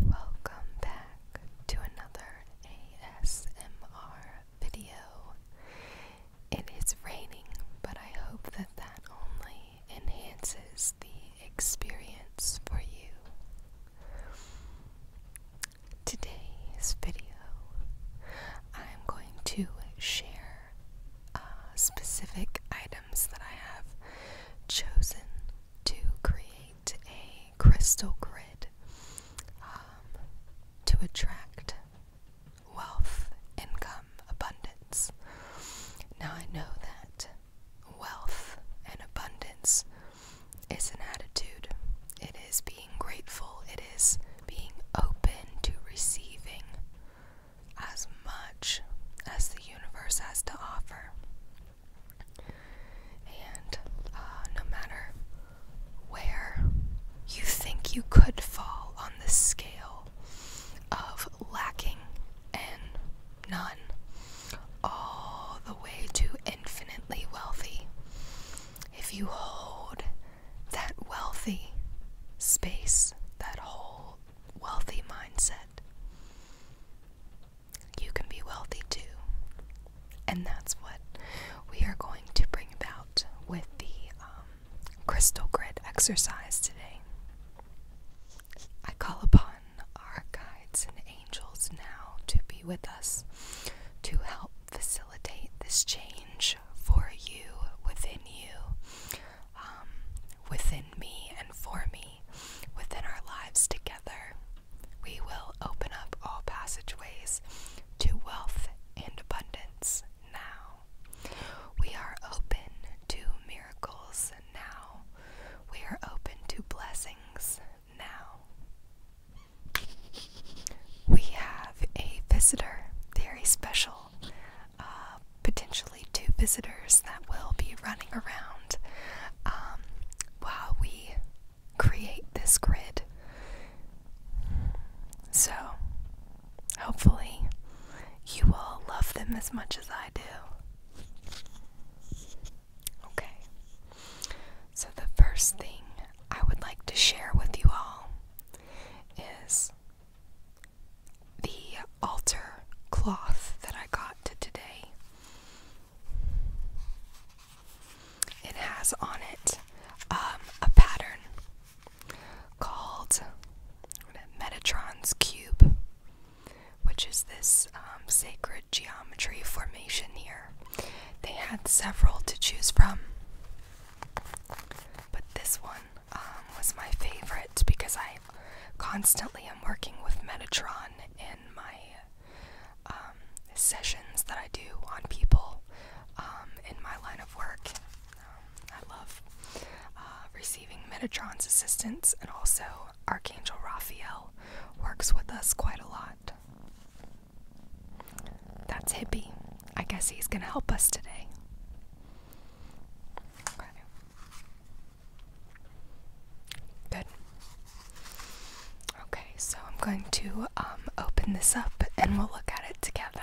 Welcome back to another ASMR video. It is raining, but I hope that that only enhances the experience for you. Today's video, I'm going to share uh, specific items that I have chosen to create a crystal grid um, to attract wealth, income, abundance. Now, I know that wealth and abundance is an attitude, it is being grateful, it is being open to receiving as much as the universe has to offer. And uh, no matter where you think you could fall on the scale of lacking and none, all the way to infinitely wealthy, if you hold that wealthy space, that whole wealthy mindset, you can be wealthy too. And that's what we are going to bring about with the um, crystal grid exercise today. I call upon our guides and angels now to be with us to help facilitate this change for you, within you, um, within me, and for me within our lives together, we will open up all passageways to wealth and abundance now. We are open to miracles now. We are open to blessings now. We have a visitor, very special, uh, potentially two visitors that will be running around um, while we create this grid. So, hopefully, you will love them as much as I do. Okay, so the first thing I would like to share with you all is the altar cloth that I got today. It has on it um, a pattern called Metatron's Cube, which is this um, sacred geometry formation here. They had several to choose from, but this one um, was my favorite because I constantly i am working with Metatron in my um, sessions that I do on people um, in my line of work. Um, I love uh, receiving Metatron's assistance, and also Archangel Raphael works with us quite a lot. That's Hippie. I guess he's going to help us today. Good. Okay, so I'm going to um, open this up and we'll look at it together.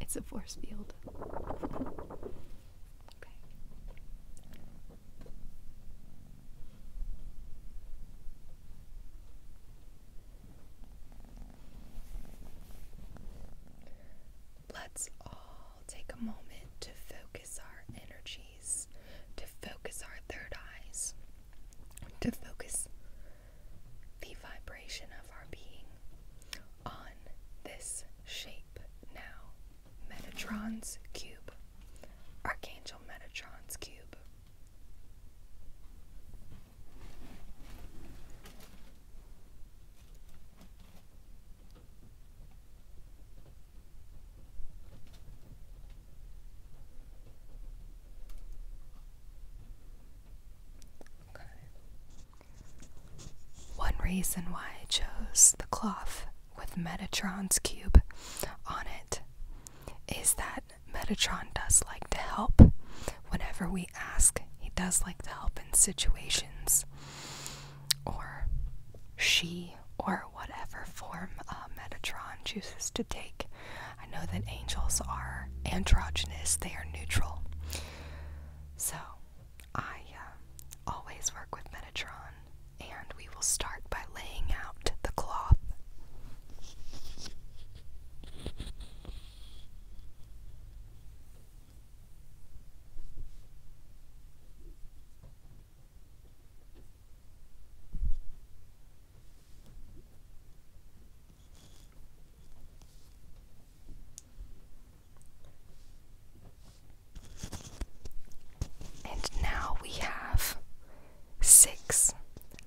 It's a force field. Let's all take a moment to focus our energies, to focus our third eyes, to focus the vibration of our being on this shape now Metatron's cube, Archangel Metatron's cube. One reason why I chose the cloth with Metatron's cube on it is that Metatron does like to help. Whenever we ask, he does like to help in situations. Or she, or whatever form uh, Metatron chooses to take. I know that angels are androgynous, they are neutral. So I uh, always work with Metatron and we will start by laying out the cloth. And now we have six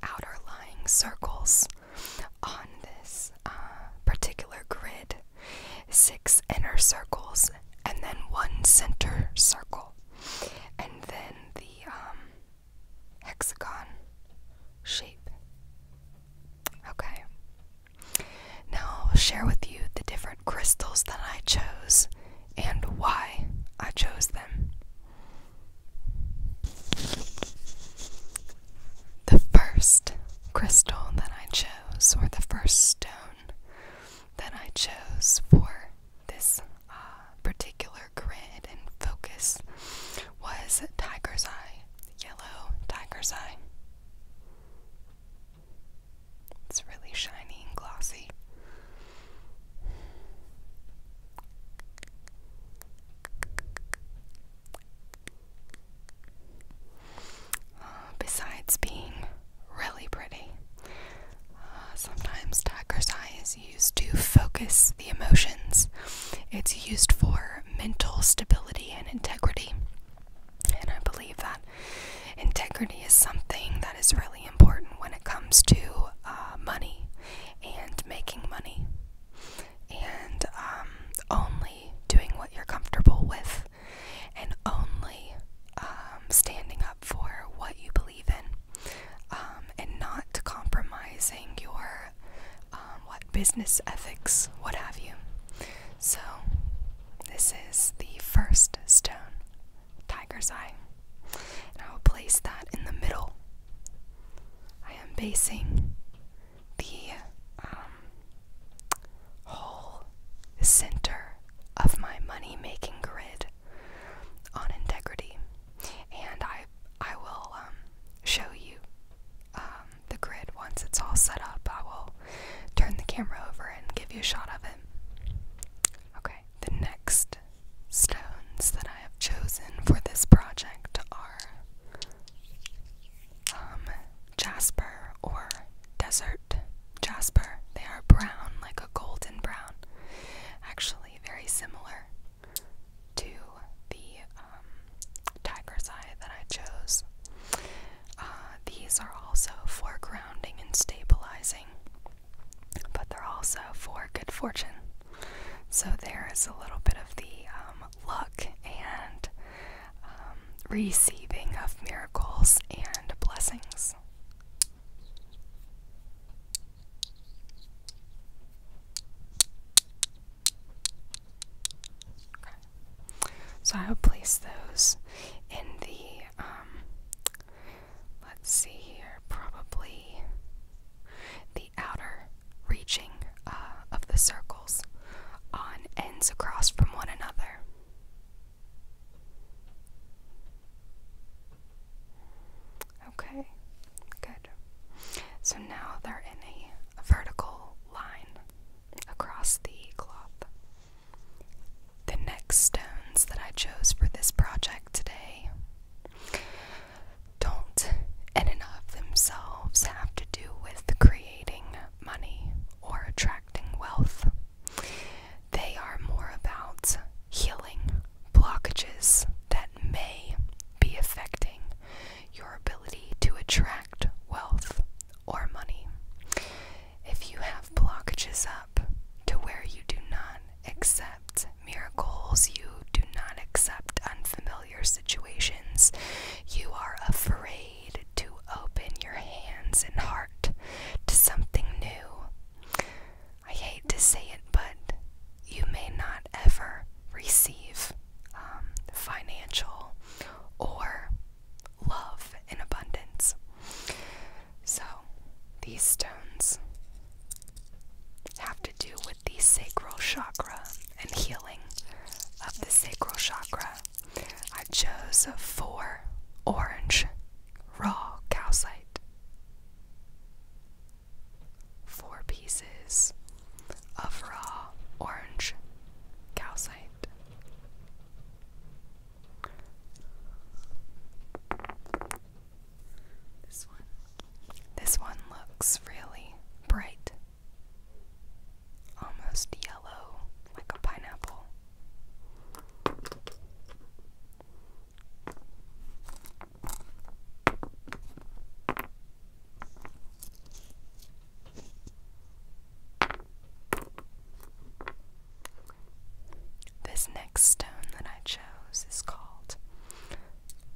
outer lying circles on this uh, particular grid, six inner circles, and then one center circle, and then the um, hexagon shape. Okay. Now I'll share with you the different crystals that I chose and why I chose them. The first crystal that I chose, or the first stone that I chose for this uh, particular grid and focus, was Tiger's Eye, Yellow Tiger's Eye. It's really shiny and glossy. Uh, besides being really pretty, uh, sometimes tiger's eye is used to focus the emotions. It's used for mental stability and integrity. And I believe that integrity is something that is really important when it comes to uh, money and making money and um, only doing what you're comfortable with and only um, standing up for what you believe in um, and not compromising your what business ethics what have you so this is the first stone tiger's eye. And I will place that in the middle. I am basing the um, whole center of my money making grid on integrity. And I, I will um, show you um, the grid once it's all set up. I will turn the camera over and give you a shot of it. Okay, the next stones that I have chosen for this project are um, jasper or desert jasper. They are brown, like a golden brown, actually, very similar to the um, tiger's eye that I chose. Uh, these are also for grounding and stabilizing but they're also for good fortune. So there is a little bit of the um, luck and um, receiving of miracles and blessings. So I will place those in the um, let's see here, probably the outer reaching uh, of the circles on ends across from one another. Okay, good. So now they're in a vertical line across the cloth. The next stones that I chose for this project today don't in and of themselves have to do with creating money or attracting wealth. They are more about healing blockages that may be affecting your ability to attract wealth or money. If you have blockages up to where you do not accept miracles, you do not accept unfamiliar situations, you are afraid to open your hands and heart to something new. I hate to say it, but you may not ever receive um, financial or love in abundance. So, these stones have to do with the sacral chakra and healing of the sacral chakra. I chose four orange raw calcite. Four pieces of raw orange calcite. This one. This one looks really bright. Almost yellow, like a pineapple. This next stone that I chose is called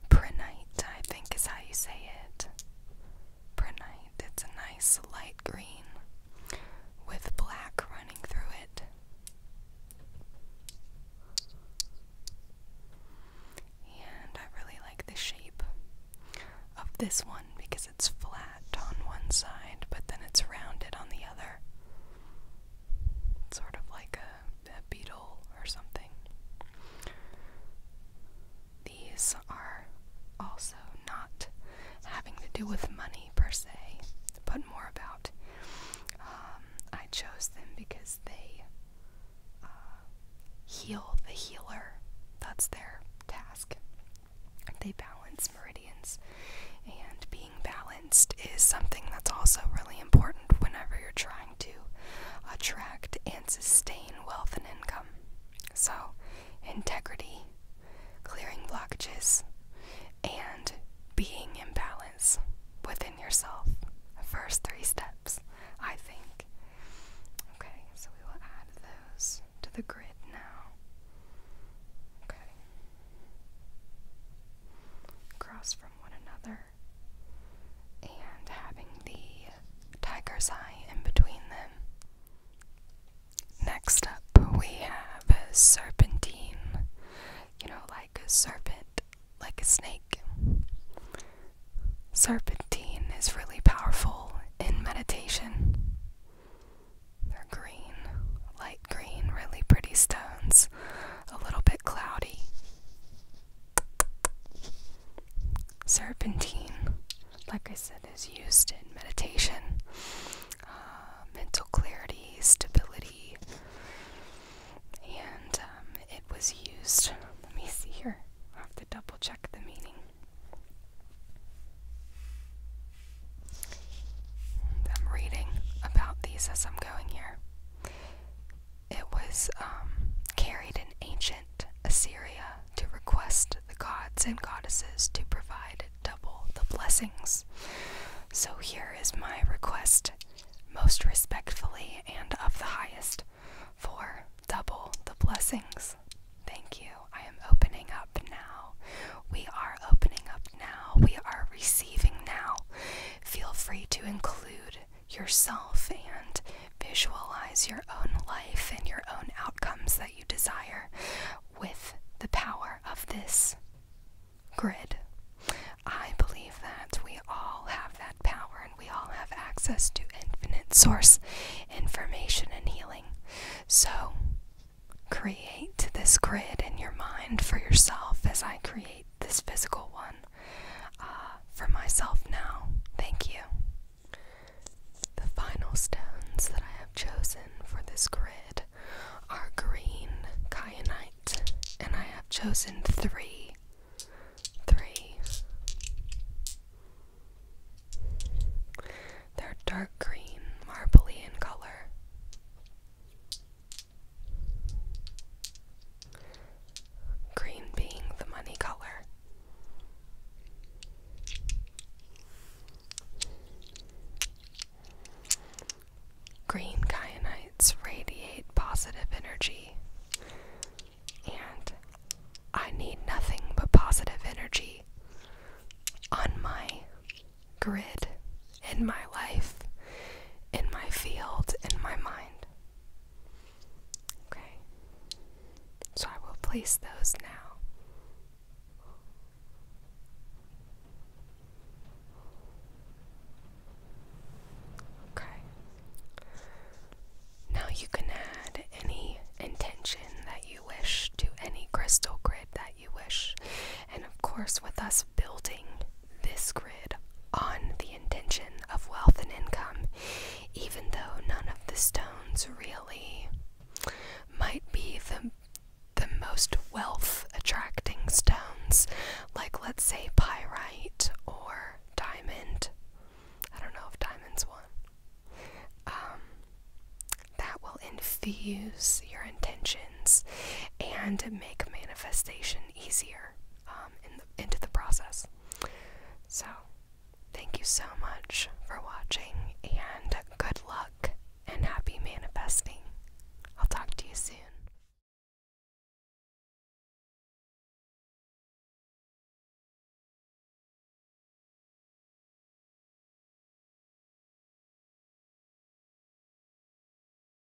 Prehnite, I think is how you say it. Prehnite. It's a nice light green with black running through it. And I really like the shape of this one because it's flat on one side, but then it's rounded on the other. sort of like a a beetle or something. These are also not having to do with money per se, but more about. Um, I chose them because they uh, heal the healer. That's their task. They balance meridians and be being balanced is something that's also really important whenever you're trying to attract and sustain wealth and income. So, integrity, clearing blockages, and being in balance within yourself. first three steps, I think. Okay, so we will add those to the grid now. Okay. Across from one another and having the tiger's eye in between them. Next up, we have a serpentine. You know, like a serpent, like a snake. Serpentine is really powerful in meditation. They're green, light green, really pretty stones a little bit cloudy. Serpentine, like I said, is used in meditation, uh, mental clarity, stability, and um, it was used. Let me see here. I have to double check the meaning. I'm reading about these as I'm going here it was um, carried in ancient Assyria to request the gods and goddesses to provide double the blessings. So here is my request, most respectfully and of the highest, for double the blessings. Thank you. I am opening up now. We are opening up now. We are receiving now. Feel free to include yourself and visualize your own life and your own outcomes that you desire with the power of this grid. I believe that we all have that power and we all have access to infinite source information and healing. So, create this grid in your mind for yourself as I create this physical one uh, for myself now. Thank you. The final stones that I have chosen for this grid are green kyanite, and I have chosen three. Three. They're dark green, marbly in color. Green being the money color. Green Kyanites radiate positive energy, and I need nothing but positive energy on my grid in my life, in my field, in my mind. Okay. So I will place those now. Okay. Now you can add any intention that you wish to any crystal grid that you wish. And of course, with us building this grid on the intention of wealth and income, even though none of the stones really might be the the most wealth attracting stones, like let's say pyrite or diamond. I don't know if diamond's one. Um, that will infuse your intentions and make manifestation easier. Um, in the, into the process. So, thank you so much for watching, and good luck and happy manifesting. I'll talk to you soon.